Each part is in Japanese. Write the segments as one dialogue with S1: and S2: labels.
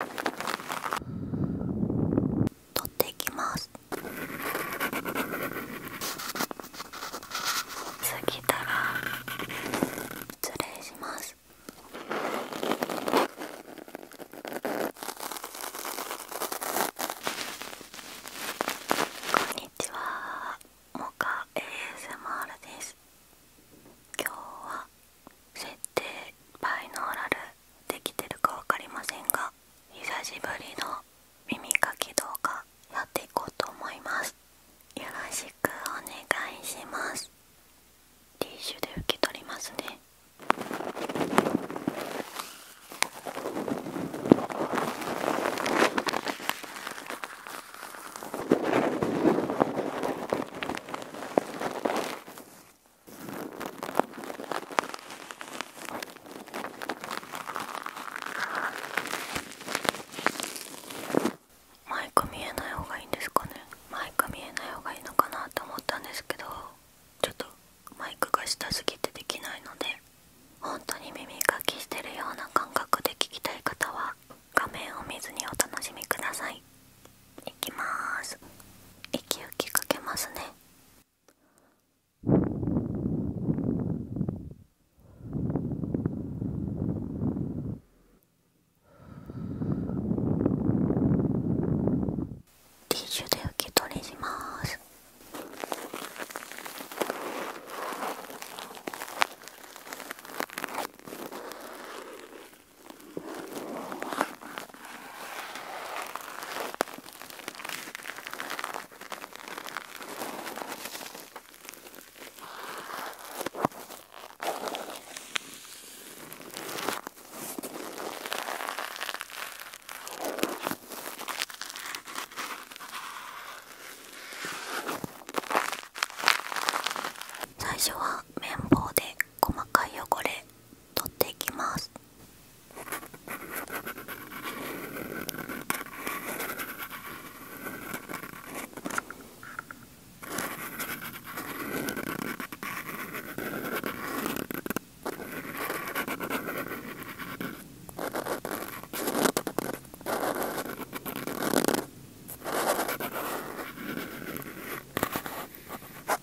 S1: 取っていきます過ぎら失礼しますこんにちはモカ ASMR です今日は設定バイノーラルできてるか分かりませんが久しぶりの耳かき動画やっていこうと思いますよろしくお願いしますティッシュで受け取りますねマイク見えない方がいいんですかねマイク見えない方がいいのかなと思ったんですけどちょっとマイクが下すぎてできないので本当に耳かきしてるような感覚で聞きたい方は画面を見ずにお楽しみくださいいきます息吹きかけますねティッシュで受け取りします最初は綿棒で細かい汚れ取っていきます。どうですか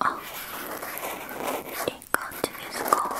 S1: あいい感じですか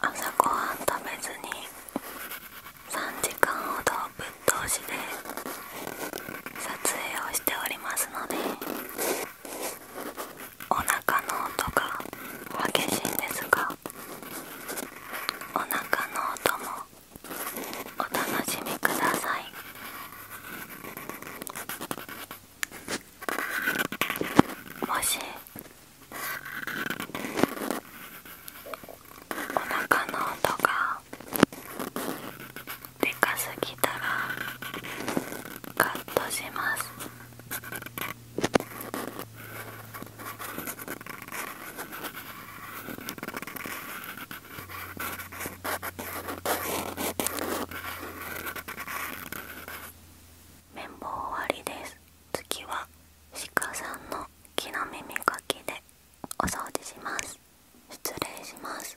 S1: 朝ごはん食べずに3時間ほどぶっ通しで撮影をしておりますのでお腹の音が激しいんですがお腹の音もお楽しみくださいもしお腹の音がでかすぎたらカットします綿棒終わりです次は鹿さんの木の耳かきでお掃除します失礼します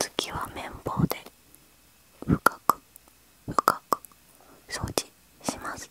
S1: 月は綿棒で深く深く掃除します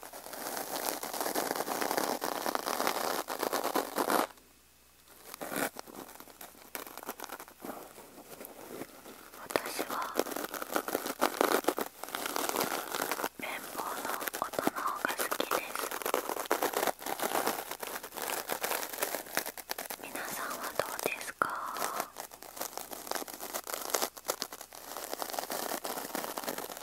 S1: 私は綿棒の音の方が好きです皆さんはどうですか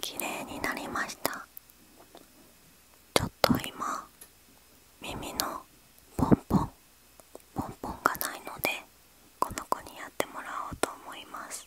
S1: 綺麗になりましたちょっと今耳のポンポンポンポンがないのでこの子にやってもらおうと思います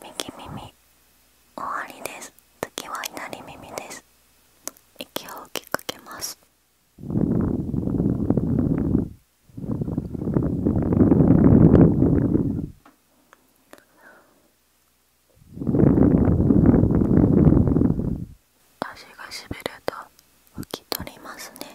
S1: 右耳終わりです次は左耳です息を吹きかけます足がしびれた拭き取りますね。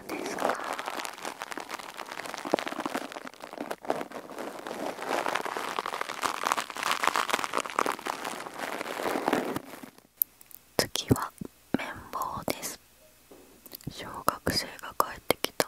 S1: 次は綿棒です小学生が帰ってきた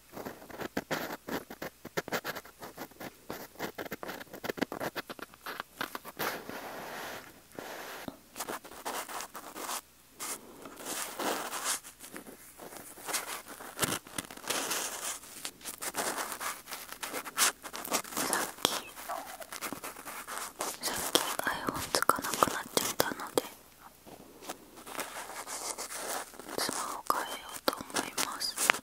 S2: さっき iPhone つかなくなっちゃったのでスマホ変えようと思います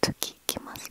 S2: 次いきます。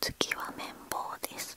S1: 次は綿棒です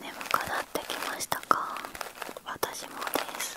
S1: 眠くなってきましたか私もです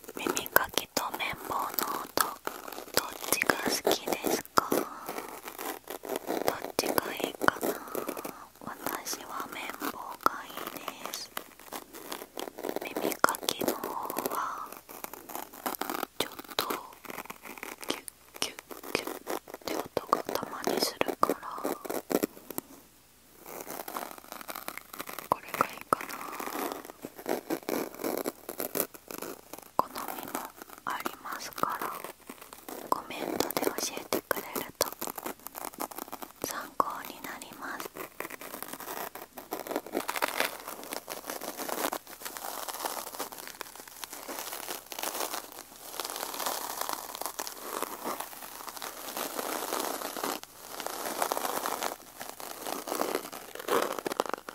S2: 耳かきと綿棒の音どっちが好きですかどっちがいいかな
S1: 私は綿棒がいいです耳かきの方はちょっとキュッキュッキュッって音がたまにするからこれがいいかな好みもありますからコメントで教えてくれると参考になります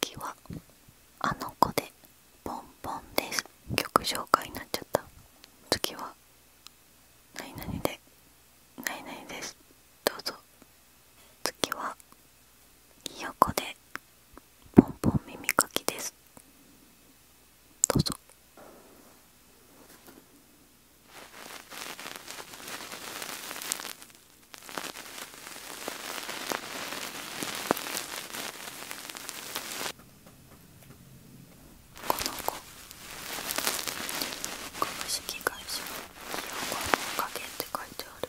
S1: 次はあの子でポンポンです曲紹介になっちゃった次は何々で何々ですどうぞ次はひよこでポンポン耳かきですどうぞこの子株式会社ひよこのおかげって書いてある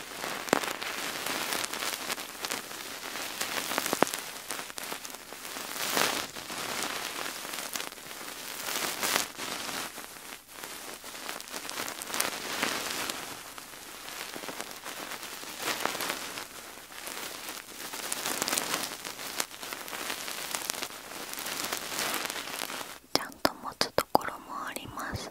S1: ちゃんと持つところもあります。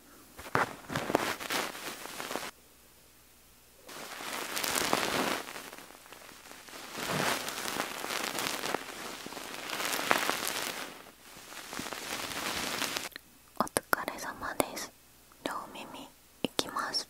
S1: お疲れ様です両耳いきます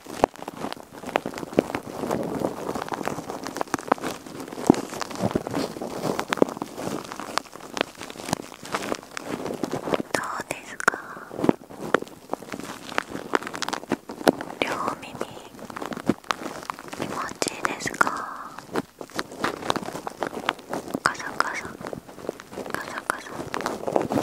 S1: どうですか両耳気持ちいいですかカサカサカサカサ耳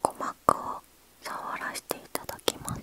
S1: 鼓膜を触らせていただきます。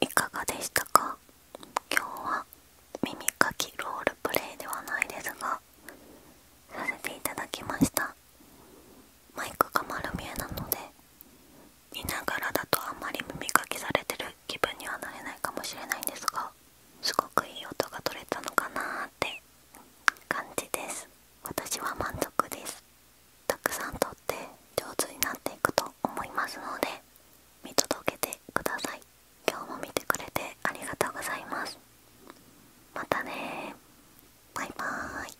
S1: いかがでしたか今日は耳かきロールプレイではないですがさせていただきましたマイクが丸見えなので見ながらだとあんまり耳かきされてる気分にはなれないかもしれないんですがすごくいい音が取れたのかなーって感じです私は満足ですたくさんとって上手になっていくと思いますので見届けてください今日も見てくれてありがとうございますまたねバイバーイ